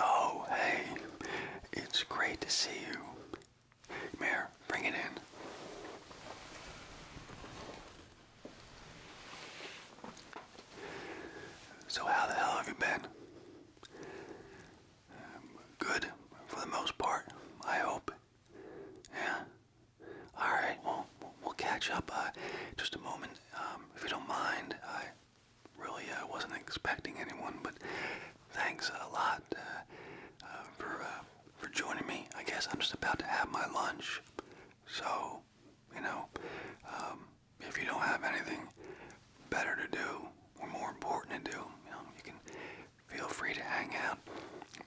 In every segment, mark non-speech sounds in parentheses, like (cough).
Oh, hey, it's great to see you. Mayor, bring it in. So, how the hell have you been? Um, good, for the most part, I hope. Yeah. All right. Well, we'll catch up uh, just a moment, um, if you don't mind. I really uh, wasn't expecting anyone, but thanks a lot uh, for for joining me. I guess I'm just about to have my lunch, so you know, um, if you don't have anything better to do or more important to do, you you can feel free to hang out.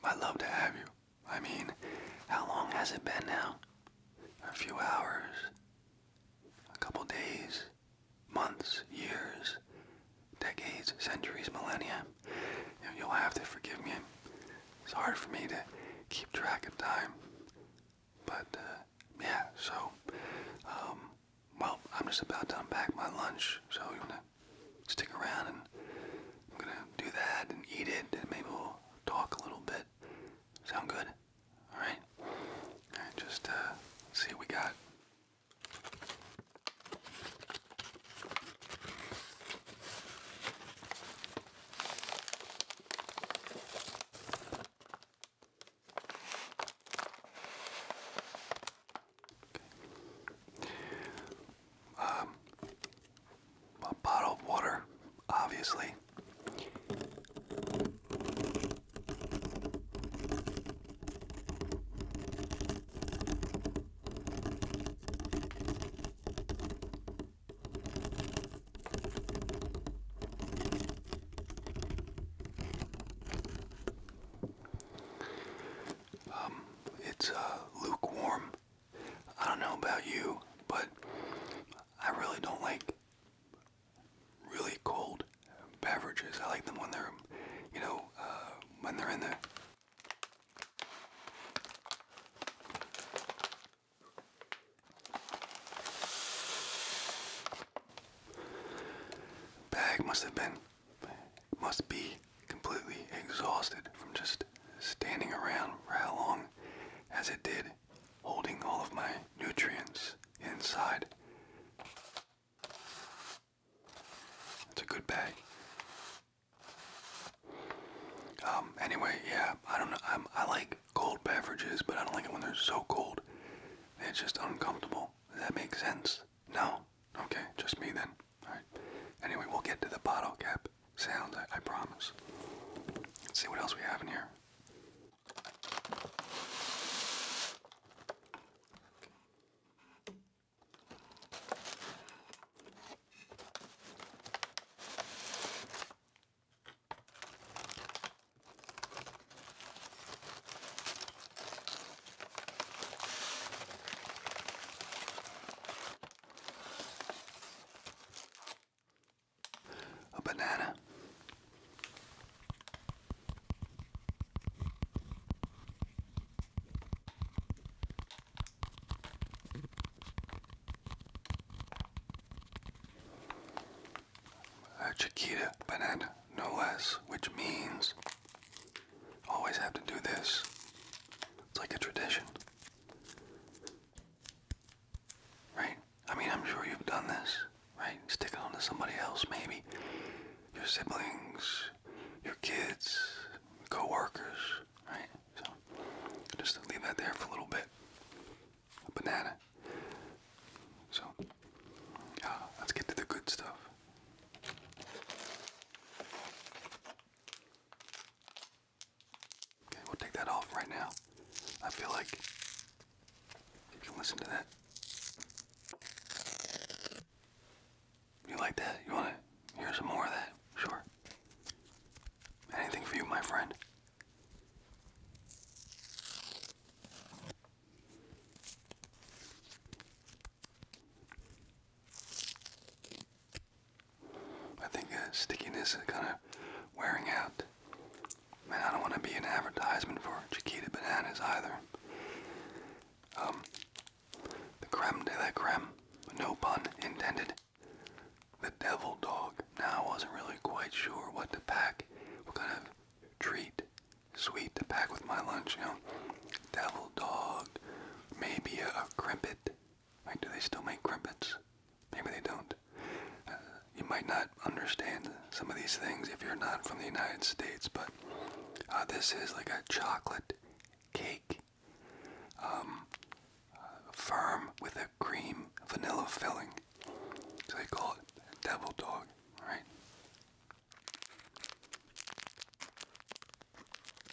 I love to have you. I mean, how long has it been now? A few hours, a couple days, months, years, decades, centuries, millennia. You'll have to forgive me. It's hard for me to keep track of time. But, uh, yeah, so, um, well, I'm just about to unpack my lunch, so you wanna stick around and I'm gonna do that and eat it and maybe we'll talk a little bit. Sound good? Alright? just uh, see what we got. Um, a bottle of water, obviously. Um, it's uh, lukewarm. I don't know about you, but I really don't like really cold beverages. I like them when they're, you know, uh, when they're in the bag must have been must be completely exhausted from just standing around for how long as it did, holding all of my nutrients inside. It's a good bag. Um, anyway, yeah, I don't know. i I like cold beverages, but I don't like it when they're so cold. It's just uncomfortable. Does that make sense? No? Okay, just me then. Alright. Anyway, we'll get to the bottle cap sounds, I, promise. see what else we have in here. A banana. A chiquita banana, no less, which means Always have to do this. It's like a tradition. Right? I mean, I'm sure you've done this, right? Sticking it on to somebody else, maybe. Your siblings, your kids, co workers, right? So just leave that there for a little bit. A banana. So, let's get to the good stuff. Okay, we'll take that off right now. I feel like you can listen to that. You like that? You want to hear some more of that? Sure. Anything for you, my friend. I think the uh, stickiness is kind of wearing out. Man, I don't want to be an advertisement for Chiquita bananas either. Um, the creme de la creme, no pun intended. The devil dog. Now I wasn't really quite sure what to pack, what kind of treat, sweet to pack with my lunch, you know devil dog, maybe a, crimpet. do they still make crimpets? Maybe they don't. Uh, you might not understand some of these things if you're not from the United States, but uh, this is like a chocolate cake, um, uh, firm with a cream vanilla filling. So they call it devil dog, right?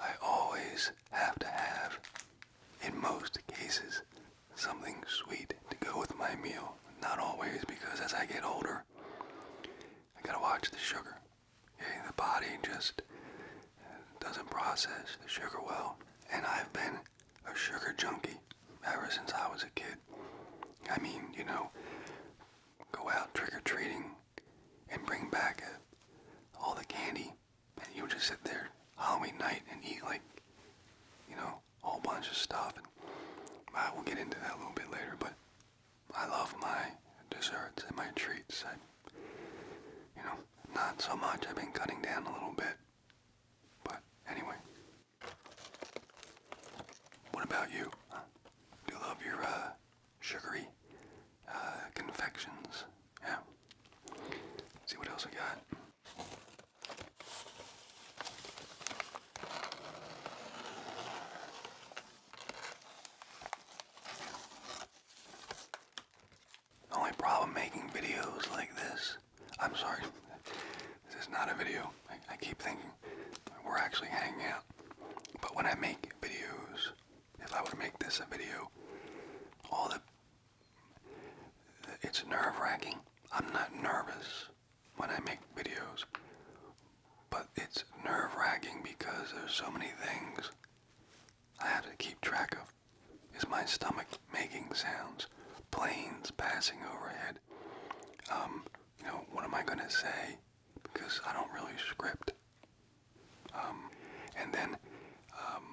I always have to have, in most cases, something sweet to go with my meal. Not always, because as I get older, I gotta watch the sugar. The body just doesn't process the sugar well. And I've been a sugar junkie ever since I was a kid. I mean, you know, go out trick or treating and bring back all the candy, and you would just sit there Halloween night and eat like, you know, a whole bunch of stuff. And I will get into that a little bit later, but I love my desserts and my treats. I, you know, not so much. I've been cutting down a little bit, but anyway. What about you? Do you love your uh, sugary uh, confections. Yeah. see what else we got. only problem making videos like this, I'm sorry, (laughs) this is not a video. I keep thinking we're actually hanging out. But when I make videos if I were to make this a video, all the it's nerve-wracking. I'm not nervous when I make videos, but it's nerve-wracking because there's so many things I have to keep track of. Is my stomach making sounds? Planes passing overhead? Um, you know, what am I gonna say? Because I don't really script. Um, and then um,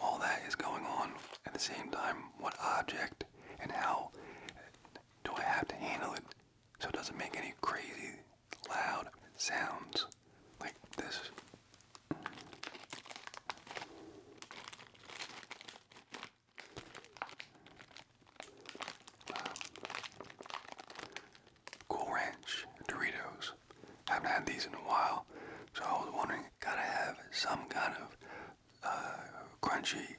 all that is going on at the same time. What object and how do I have to handle it so it doesn't make any crazy loud sounds like this? Cool Ranch Doritos. I haven't had these in a while, so I was wondering, gotta have some kind of uh, crunchy,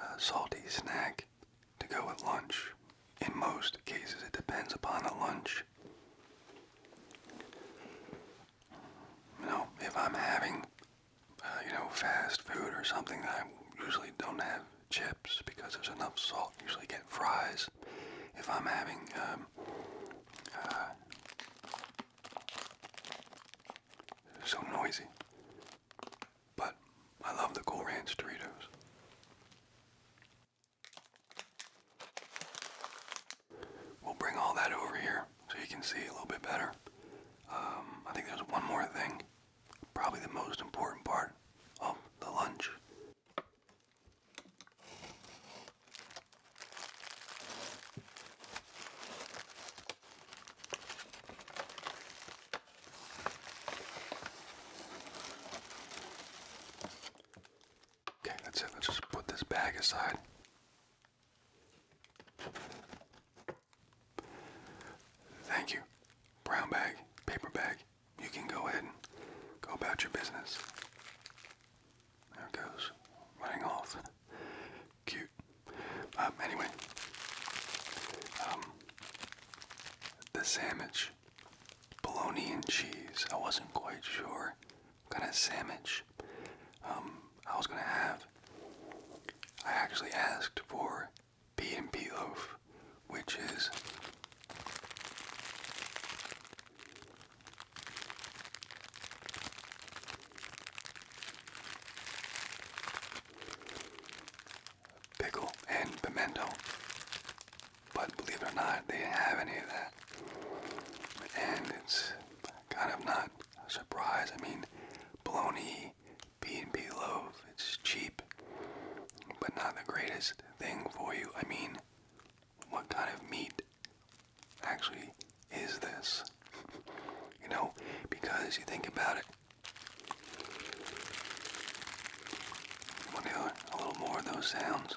uh, salty snack to go with lunch. In most cases, it depends upon the lunch. You know, if I'm having, uh, you know, fast food or something that I usually don't have chips because there's enough salt. Usually get fries if I'm having um, uh, so noisy. But I love the Cool Ranch Doritos. We'll bring all that over here so you can see a little bit better. Um, I think there's one more thing, probably the most important part of the lunch. Okay, that's it. Let's just put this bag aside. Thank you. Brown bag, paper bag, you can go ahead and go about your business. There it goes, running off. Cute. Um, anyway, um, the sandwich, bologna and cheese. I wasn't quite sure kind of sandwich um, I was going to have. I actually asked for B&B loaf, which is pickle and pimento. But believe it or not, they didn't have any of that. And it's kind of not a surprise. I mean, bologna, B&B loaf, it's cheap, but not the greatest thing for you. I mean, what kind of meat actually is this? (laughs) You know, because you think about it. Want a little more of those sounds?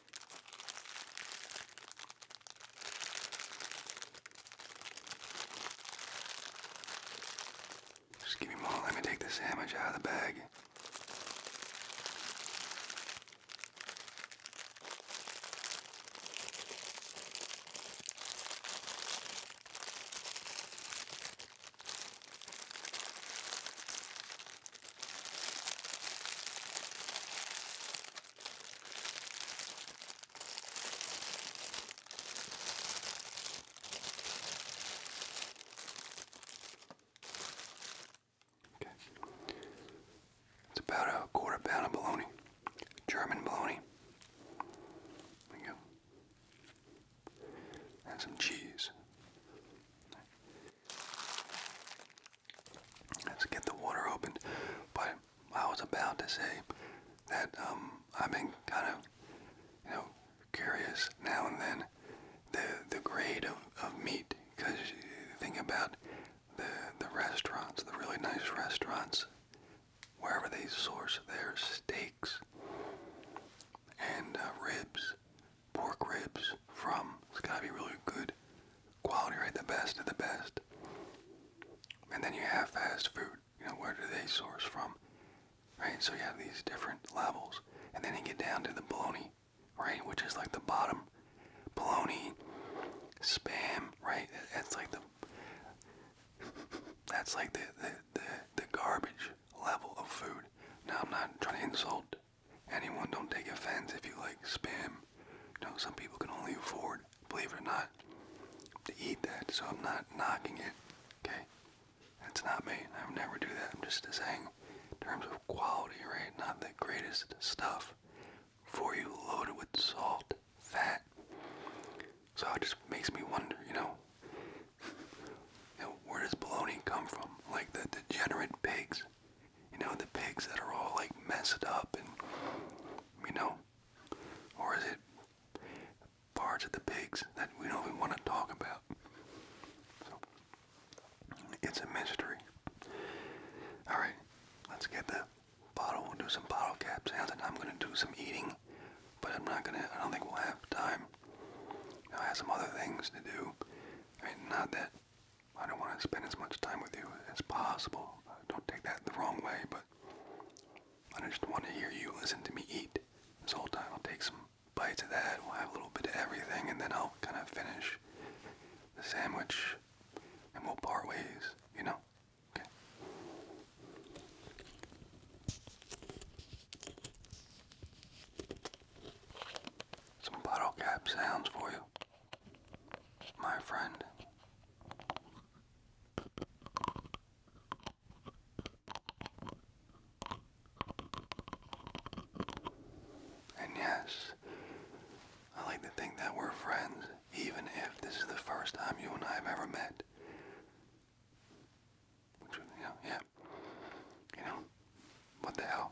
Just give me more. Let me take the sandwich out of the bag. Okay. It's about a quarter pound of bologna. German bologna. There you go. And some cheese. Let's get the water opened. But I was about to say that um, I've been kind of, you know, curious now and then the the grade of, of meat because think about the the restaurants, the really nice restaurants, wherever they source their steaks and uh, ribs, pork ribs from. It's gotta be really good quality right the best of the best and then you have fast food you know where do they source from right so you have these different levels and then you get down to the baloney, right which is like the bottom baloney, spam right that's like the (laughs) that's like the, the, the garbage level of food now i'm not trying to insult anyone don't take offense if you like spam you know, some people can only afford, believe it or not, to eat that. So I'm not knocking it. Okay, that's not me. I would never do that. I'm just saying, in terms of quality, right? Not the greatest stuff for you, loaded with salt, fat. So it just makes me wonder, you know, (laughs) you know where does bologna come from? Like the degenerate pigs you know, the pigs that are all like messed up and, you know, or is it parts of the pigs that we don't even want to talk about? So, it's a mystery. Alright, let's get the bottle. We'll do some bottle cap sounds and I'm going to do some eating, but I'm not going to, I don't think we'll have time. I have some other things to do. I not that I don't want to spend as much time with you as possible. Uh, don't take that the wrong way, but I just want to hear you listen to me eat this whole time. I'll take some bites of that, we'll have a little bit of everything, and then I'll kind of finish the sandwich and we'll part ways, you know? Okay. Some bottle cap sounds for you my friend. And yes, I like to think that we're friends, even if this is the first time you and I have ever met. Which, yeah. You know, what the hell?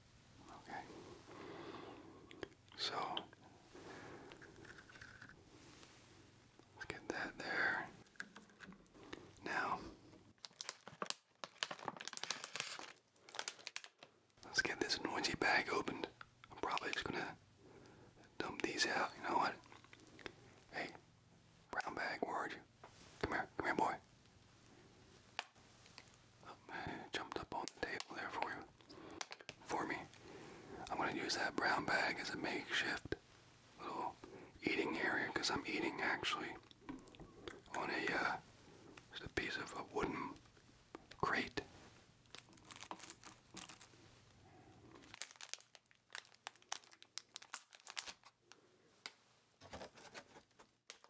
Okay. So let's get that there. Now let's get this noisy bag opened. I'm probably just gonna dump these out. You know what? Hey, brown bag, where are you? Come here, come here, boy jumped up on the table there for you. For me. I'm gonna use that brown bag as a makeshift little eating area because I'm eating actually on a uh, just a piece of a wooden crate.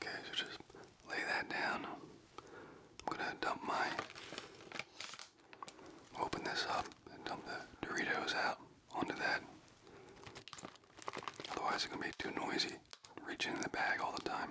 Okay, so just lay that down. I'm gonna dump my. Open this up and dump the Doritos out onto that. Otherwise, it's gonna be too noisy reaching in the bag all the time.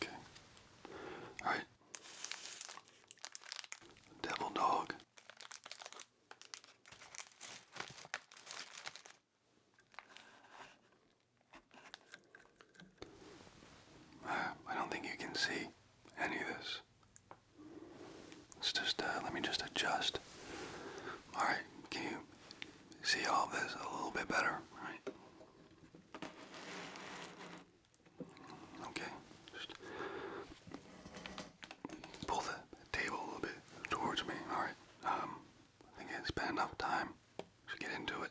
Okay. All right. Devil dog. I don't think you can see any of this. Let's just, uh, let me just adjust. All right, can you see all this a little bit better? All right. Okay, just pull the table a little bit towards me. All right, um, I think I spent enough time to get into it.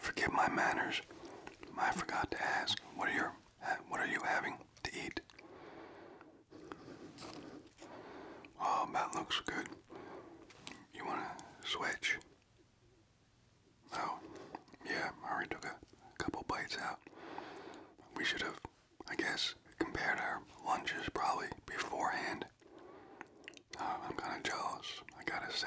Forgive my manners. I forgot to ask. What are your what are you having to eat? Oh, that looks good. You want to switch? Oh, yeah, already took a couple bites out. We should have, I guess, compared our lunches probably beforehand. Uh, I'm kind of jealous, I gotta say.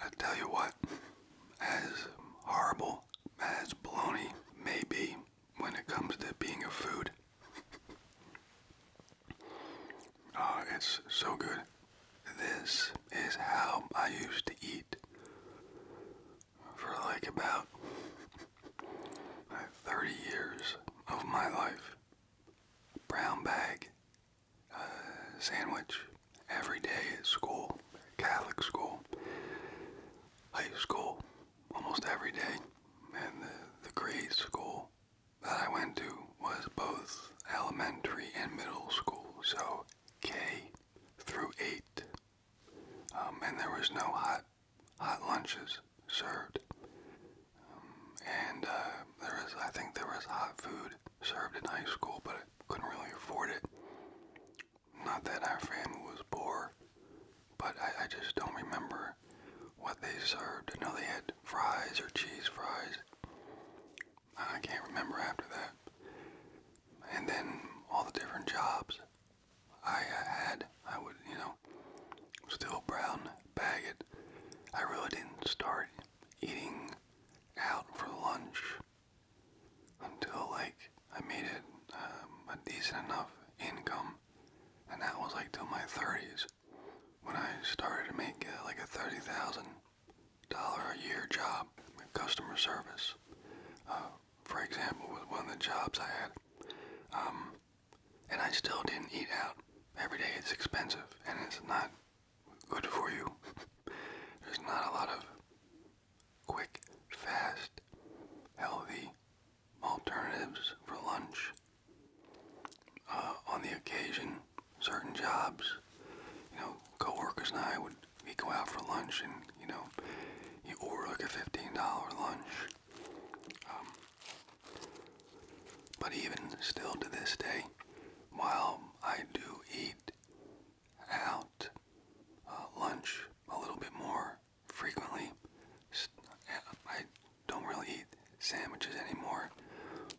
I tell you what, as horrible as bologna may be when it comes to being a food, Oh, it's so good. This is how I used to eat for like about 30 years of my life. Brown bag uh, sandwich every day at school, Catholic school, high school, almost every day, and the, the grade school that I went to was both elementary and middle school, so K through 8. Um, and there was no hot, hot lunches served. Um, and uh, there was, I think there was hot food served in high school, but I couldn't really afford it. Not that our family was poor, but I, just don't remember what they served. I know they had fries or cheese fries. I can't remember after that. And then all the different jobs I uh, had, I would, you know, still brown bag it. I really didn't start eating out for lunch until like I made it um, a decent enough income, and that was like till my 30s was when I started to make uh, like a thirty thousand dollar a year job in customer service. Uh, for example, was one of the jobs I had, um, and I still didn't eat out every day. It's expensive and it's not good for you. (laughs) There's not a lot of quick, fast, healthy alternatives for lunch. Uh, on the occasion, certain jobs, you know, coworkers and I would we go out for lunch and you know, you order like a fifteen dollar lunch. Um, but even still to this day, while I do eat out uh, lunch a little bit more frequently. I don't really eat sandwiches anymore,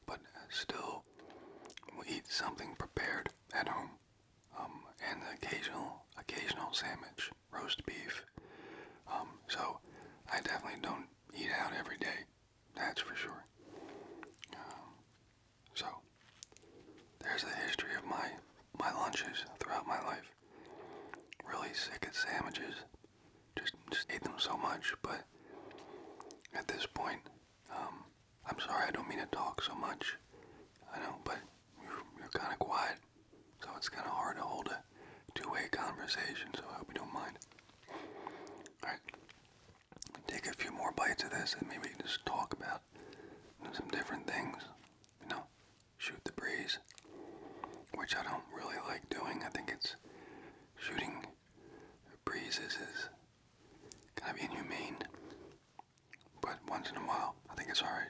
but still will eat something prepared at home. Um, and the occasional, occasional sandwich, roast beef. Um, so I definitely don't eat out every day. That's for sure. Um, so there's a history of my my lunches throughout my life really sick at sandwiches. Just, just ate them so much, but at this point, um, I'm sorry I don't mean to talk so much. I know, but you're, kind of quiet, so it's kind of hard to hold a two-way conversation, so I hope you don't mind. Alright, take a few more bites of this and maybe just talk about some different things, you know, shoot the breeze, which I don't really like doing. I think it's shooting breezes is kind of inhumane, but once in a while, I think it's alright.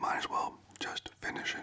might as well just finish it.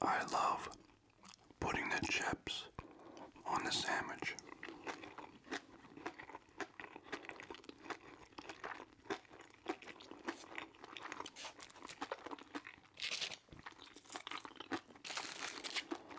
I love putting the chips on the sandwich.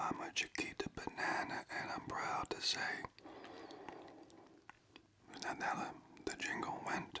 I'm a Chiquita banana, and I'm proud to say that, that the jingle went.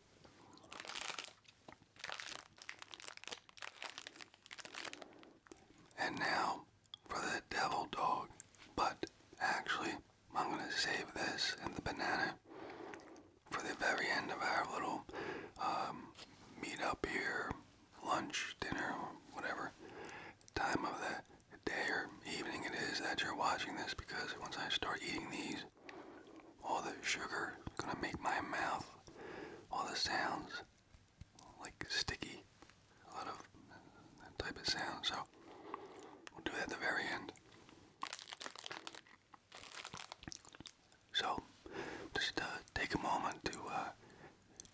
And now for the devil dog, but actually, I'm going to save this and the banana for the very end of our little um, meet up here, lunch, dinner, whatever time of the day or evening it is that you're watching this because once I start eating these, all the sugar gonna make my mouth, all the sounds like sticky, a lot of that type of sound. So we'll do that at the very end. So just uh, take a moment to uh,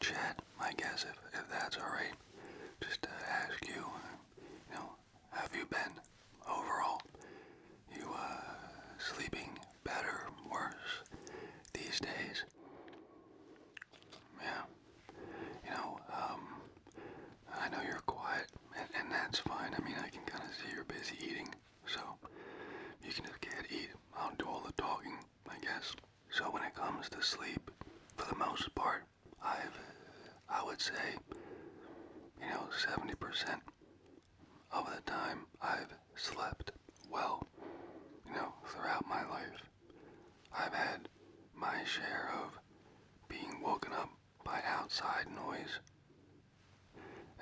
chat, I guess, if, if that's alright. Just to uh, ask you, you know, have you been overall? You uh, sleeping better, worse these days. Yeah. You know, um, I know you're quiet, and, and that's fine. I mean, I can kind of see you're busy eating, so you can just get eat. I'll do all the talking, I guess. So when it comes to sleep, for the most part, I've, I would say, you know, 70% of the time I've slept well. You know, throughout my life, I've had my share of being woken up by outside noise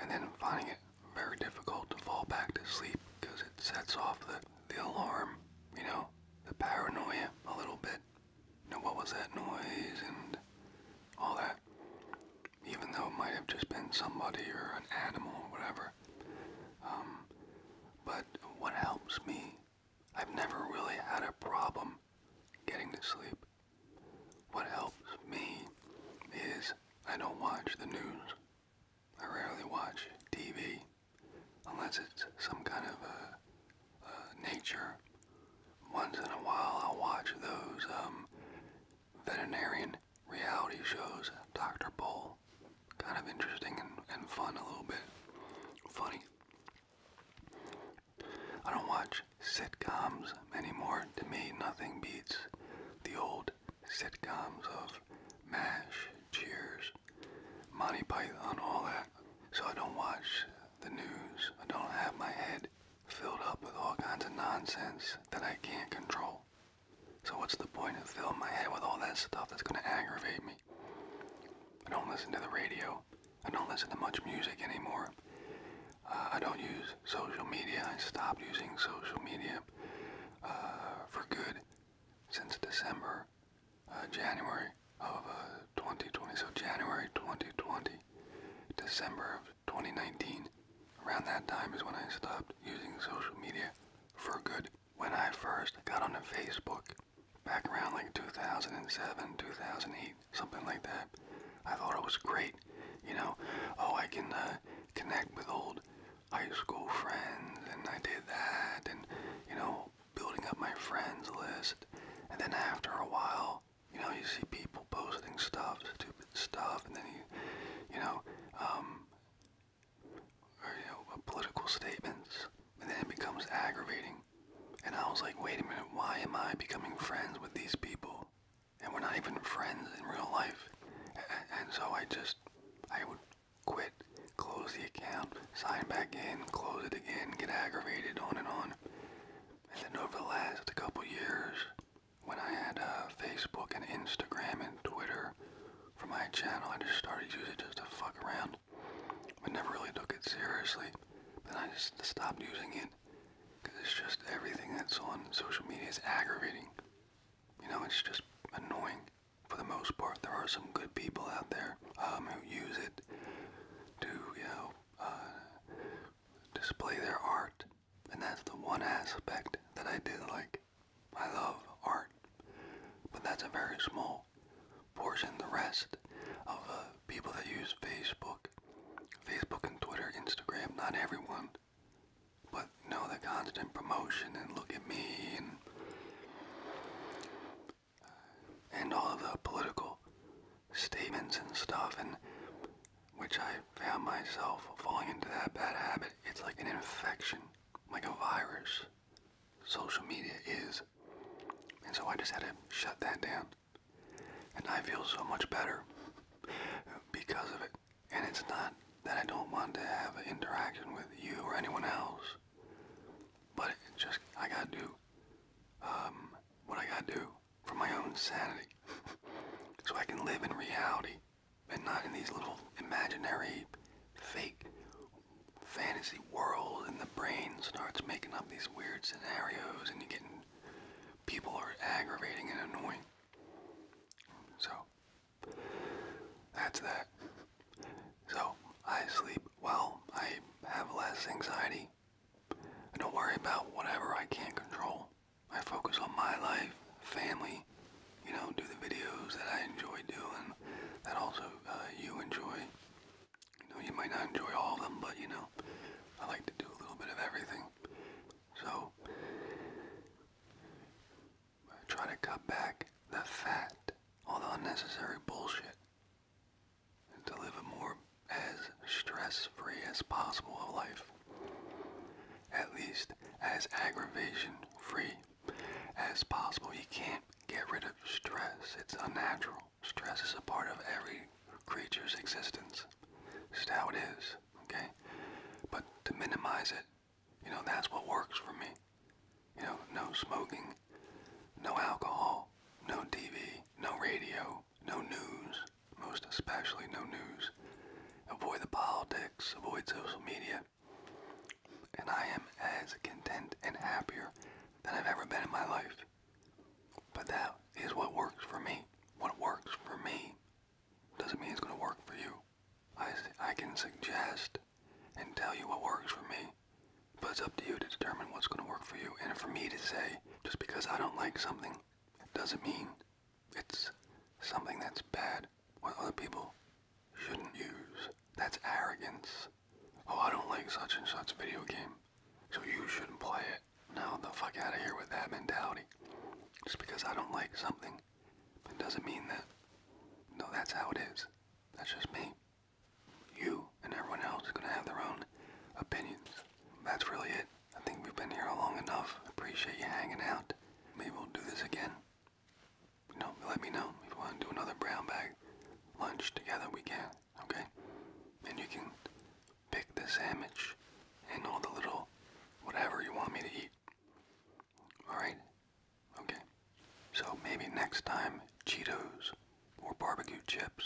and then finding it very difficult to fall back to sleep because it sets off the, the alarm, you know, the paranoia a little bit. You know, what was that noise and all that even though it might have just been somebody or an animal or whatever. Um, but what helps me, I've never really had a problem getting to sleep. What helps me is I don't watch the news. I rarely watch TV unless it's some kind of a, a nature. Once in a while, I'll watch those um, veterinarian reality shows, Dr. Bull. Kind of interesting and, and fun a little bit. Funny. I don't watch sitcoms anymore. To me, nothing beats the old sitcoms of MASH, Cheers, Monty Python, all that. So I don't watch the news. I don't have my head filled up with all kinds of nonsense that I can't control. So what's the point of filling my head with all that stuff that's going to aggravate me? I don't listen to the radio. I don't listen to much music anymore. Uh, I don't use social media. I stopped using social media uh, for good since December, uh, January of 2020. So January 2020, December of of 2019. Around that time is when I stopped using social media for good. When I first got onto Facebook, back around like 2007, 2008, something like that, I thought it was great. You know, oh, I can uh, connect with old high school friends, and I did that, and, you know, building up my friends list. And then after a while, you know, you see people posting stuff, stupid stuff, and then you, you know, um, or, you know, uh, political statements, and then it becomes aggravating. And I was like, wait a minute, why am I becoming friends with these people? And we're not even friends in real life. and so I just, I would quit, close the account, sign back in, close it again, get aggravated, on and on. And then over the last couple years, when I had uh, Facebook and Instagram and Twitter for my channel, I just started using it just to fuck around. I never really took it seriously. but I just stopped using it because it's just everything that's on social media is aggravating. You know, it's just annoying for the most part. There are some good people out there um, who use it to, you know, uh, display their art and that's the one aspect that I do like. I love art, but that's a very small portion. The rest of uh, people that use Facebook, Facebook and Twitter, Instagram, not everyone, but no, the constant promotion and look at me and and all of the political statements and stuff and which I found myself falling into that bad habit. It's like an infection, like a virus. Social media is. And so I just had to shut that down. And I feel so much better because of it. And it's not that I don't want to have an interaction with you or anyone else, but it just, I gotta do um, what I gotta do for my own sanity. (laughs) so I can live in reality and not in these little imaginary, fake fantasy world and the brain starts making up these weird scenarios and you get people are aggravating and annoying. So that's that. So I sleep well, I have less anxiety. don't worry about whatever I can't control. I focus on my life, family, you know, do the videos that I enjoy doing, that also uh, you enjoy. You know, you might not enjoy all of them, but you know, I like to do a little bit of everything. So, I try to cut back the fat, all the unnecessary bullshit, and to live a more as stress free as possible of life, at least as aggravation free as possible. You can't get rid of stress, it's unnatural. Stress is a part of every creature's existence. Just how it is, okay? But to minimize it, you know, that's what works for me. You know, no smoking, no alcohol, no TV, no radio, no news, most especially no news. Avoid the politics, avoid social media. And I am as content and happier than I've ever been in my life. But that is what works for me. What works for me doesn't mean it's going to work for you. I, I can suggest and tell you what works for me, but it's up to you to determine what's going to work for you. And for me to say, just because I don't like something, doesn't mean it's something that's bad, what other people shouldn't use. That's arrogance. Oh, I don't like such and such video game, so you shouldn't play it. Now the fuck out of here with that mentality. Just because I don't like something, it doesn't mean that. No, that's how it is. That's just me. You and everyone else is going to have their own opinions that's really it. I think we've been here long enough. Appreciate you hanging out. Maybe we'll do this again. You know, let me know if you want to do another brown bag lunch together. We can, okay? And you can pick the sandwich and all the little whatever you want me to eat. All right? Okay. So maybe next time Cheetos or barbecue chips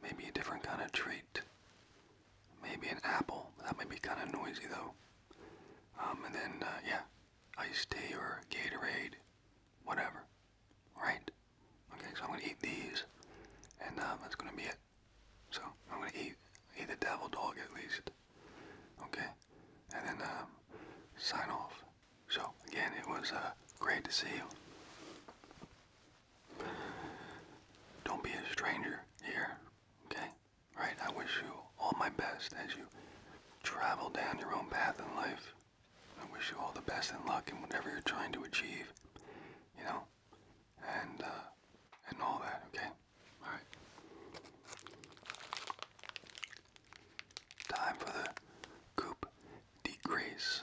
Maybe a different kind of treat. Maybe an apple. That might be kind of noisy though. Um, and then, uh, yeah, iced tea or Gatorade, whatever. Right? Okay, so I'm gonna eat these, and um, that's gonna be it. So I'm gonna eat eat the devil dog at least. Okay, and then um, sign off. So again, it was uh, great to see you. Don't be a stranger here, okay? Right? I wish you all my best as you travel down your own path in life. I wish you all the best and luck in whatever you're trying to achieve, you know? And, uh, and all that, okay? Alright. Time for the coop decrease.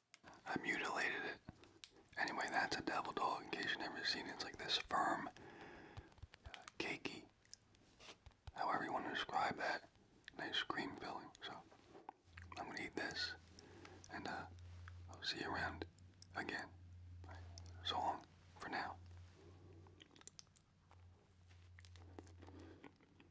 I mutilated it. Anyway, that's a devil dog in case you've never seen it. It's like this firm, uh, cakey, however you want to describe that. Nice cream filling. So I'm going to eat this and uh, I'll see you around again. So long for now.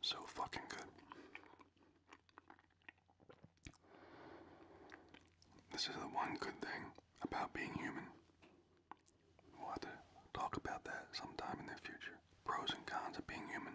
So fucking good. This is the one good thing about being human. We'll have to talk about that sometime in the future. Pros and cons of being human.